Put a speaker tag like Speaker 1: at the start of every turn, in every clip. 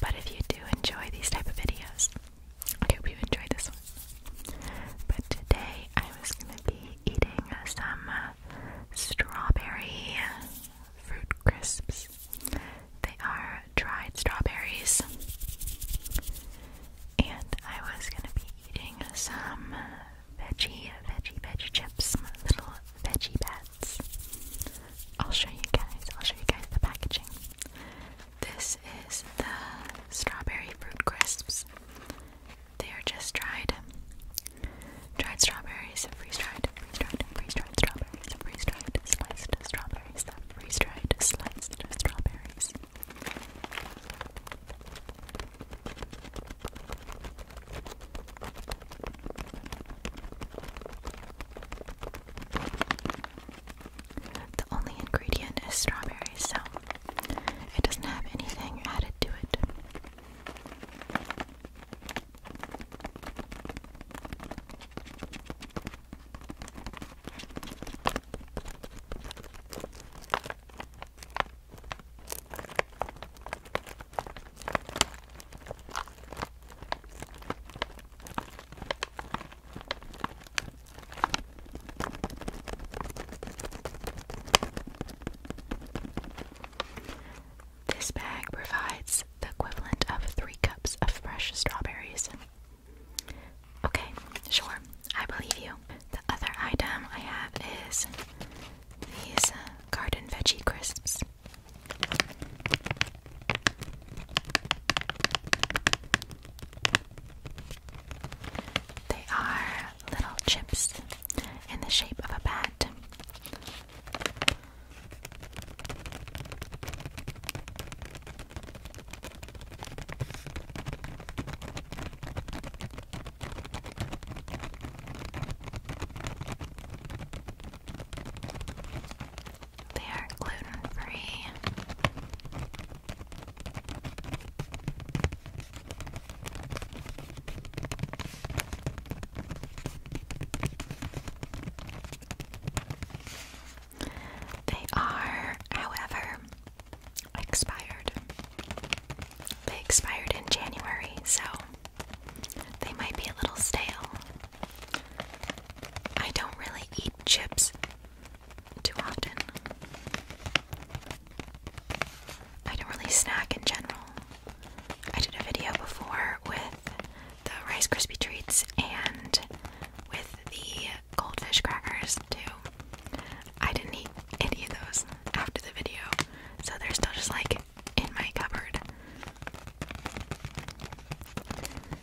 Speaker 1: But if you do enjoy these type of videos, I hope you enjoy this one. But today I was gonna be eating some uh, strawberry fruit crisps. They are dried strawberries, and I was gonna be eating some veggie, veggie, veggie chips, little veggie bats. I'll show you guys, I'll show you guys the packaging. This is the strawberry fruit crisps. They are just dried. Dried strawberries, freeze dried, freeze dried, freeze dried strawberries, freeze dried, sliced strawberries, that freeze dried, sliced strawberries. The only ingredient is strawberries, so it doesn't have anything added to it. This bag provides the equivalent of three cups of fresh strawberries. Okay, sure, I believe you. The other item I have is these uh, garden veggie crisps. They are little chips in the shape of a bat. They are gluten free. They are, however, expired. They expired in January, so they might be a little stale. I don't really eat chips too often. I don't really snack in general. I did a video before with the Rice Krispie treats and with the goldfish crackers too. I didn't eat any of those after the video, so they're still just like in my cupboard.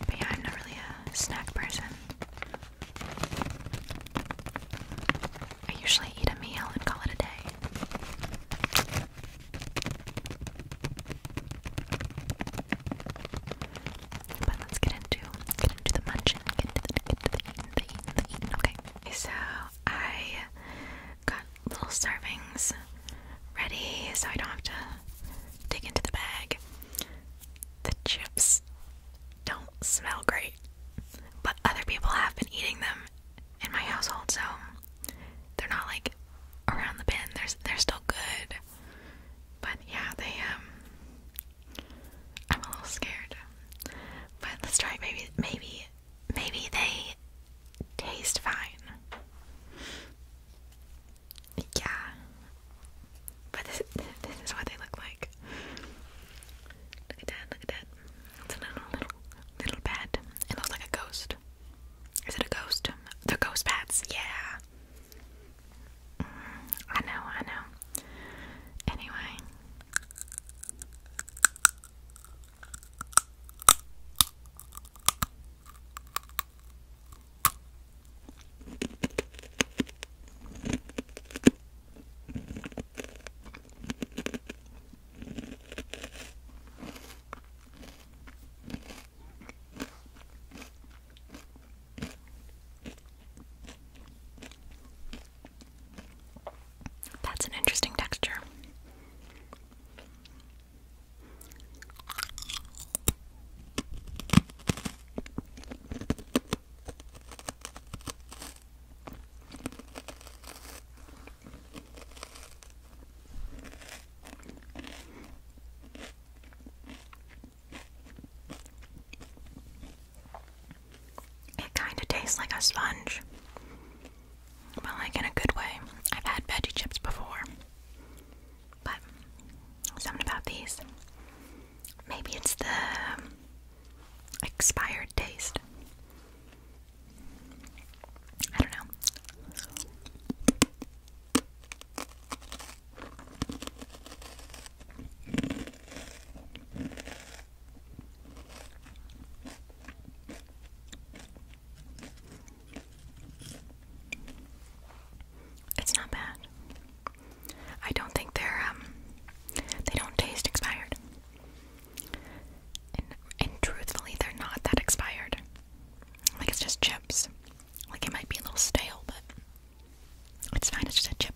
Speaker 1: But yeah, I'm not really a snack person. I usually eat a meal and call it a day. But let's get into get into the munching, get into get into the eating. Okay. So I got little servings ready, so I don't have to dig into the bag. The chips don't smell great, but other people have been eating them in my household, so they're not like around the bin. They're they're still good, but yeah, they um, I'm a little scared. But let's try Maybe maybe maybe they taste fine. Yeah. But this, this is what they look like. Look at that, look at that. It's a little, little, little bat. It looks like a ghost. Is it a ghost? they ghost bats, yeah. Mm, I know, I know. Anyway. That's an interesting texture. It kind of tastes like a sponge, but like in a good way. I've had veggie chips before. But something about these. Maybe it's the expired taste. I don't know. It's not bad. I don't think they're um they don't taste expired. And and truthfully they're not that expired. Like it's just chips. Like it might be a little stale, but it's fine, it's just a chip.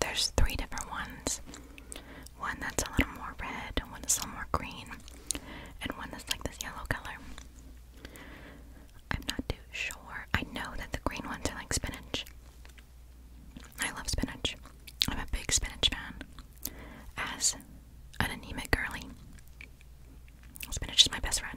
Speaker 1: There's three different ones. One that's a little more red, one that's a little more green, and one that's like this yellow color. I'm not too sure. I know that the green ones are like spinach. I love spinach. I'm a big spinach fan. As an anemic girly, Spinach is my best friend.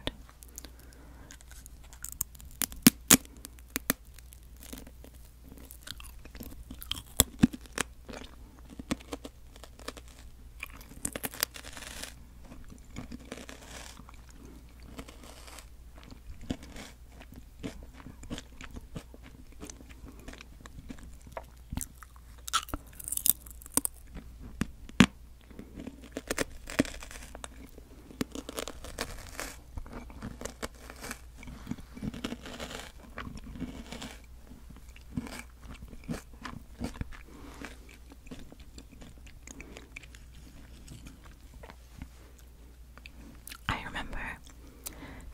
Speaker 1: I remember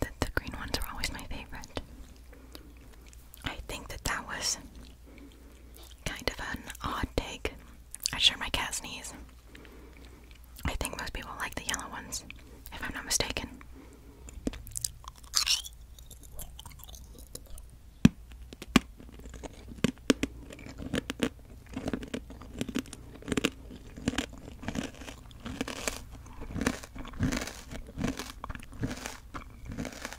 Speaker 1: that the green ones were always my favorite. I think that that was kind of an odd take. I share my cat sneeze. I think most people like the yellow ones, if I'm not mistaken.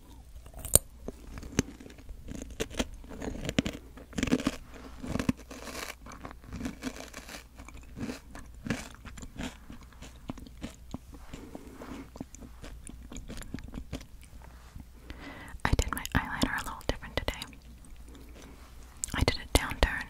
Speaker 1: I did my eyeliner a little different today. I did it downturned.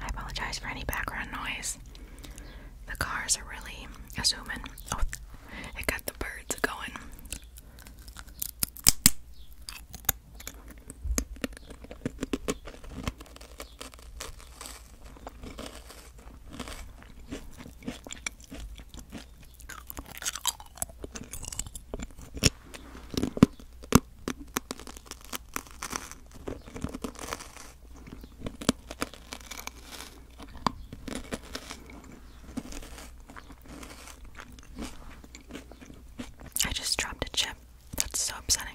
Speaker 1: I apologize for any background noise. The cars are really assuming. Oh, it got the birds going. I just dropped a chip. That's so upsetting.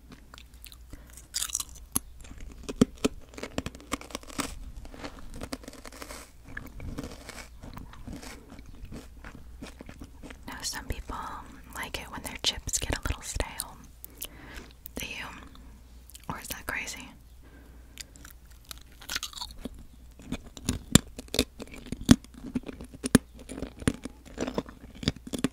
Speaker 1: Now, some people like it when their chips get a little stale. Do you? Um, or is that crazy?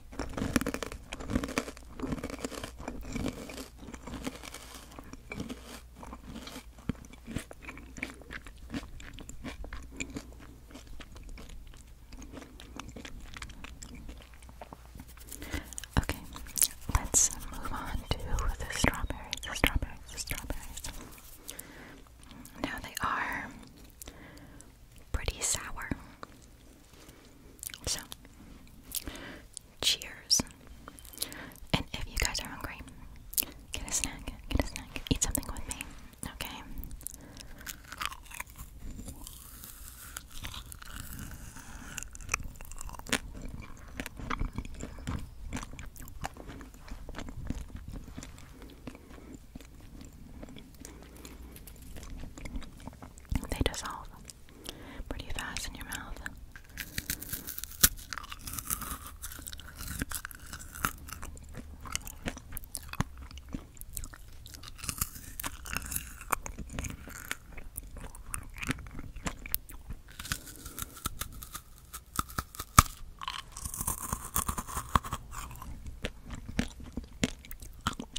Speaker 1: Okay, let's move on to the strawberries, strawberries, strawberries. Now they are pretty sour. So, cheers. And if you guys are hungry, get a snack, get a snack, eat something with me, okay? They dissolve pretty fast in your mouth.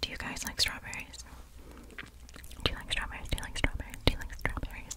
Speaker 1: Do you guys like strawberries? Do you like strawberries? Do you like strawberries? Do you like strawberries?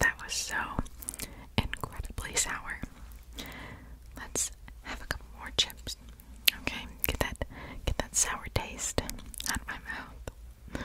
Speaker 1: That was so incredibly sour. Let's have a couple more chips. Okay, get that get that sour taste out of my mouth.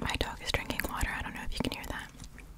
Speaker 1: My dog is drinking water. I don't know if you can hear that.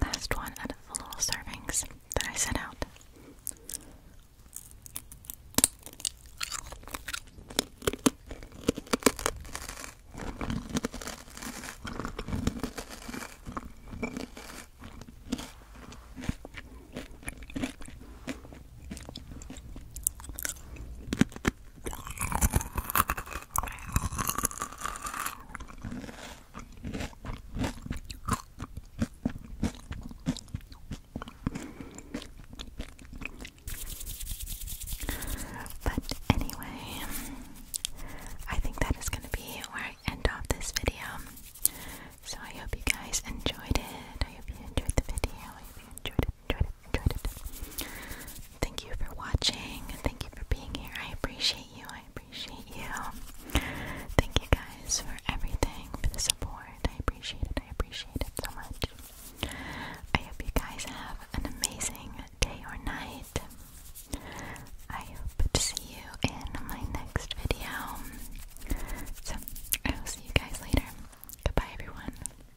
Speaker 1: Last one out of the little servings that I set out. But anyway, I think that is going to be where I end off this video. So I hope you guys enjoyed it. I hope you enjoyed the video. I hope you enjoyed enjoyed it, enjoyed it. Thank you for watching. Thank you for being here. I appreciate you. I appreciate you. Thank you guys for everything, for the support. I appreciate it. I appreciate it so much. I hope you guys have an amazing day or night. I hope to see you in my next video. So, I will see you guys later. Goodbye, everyone.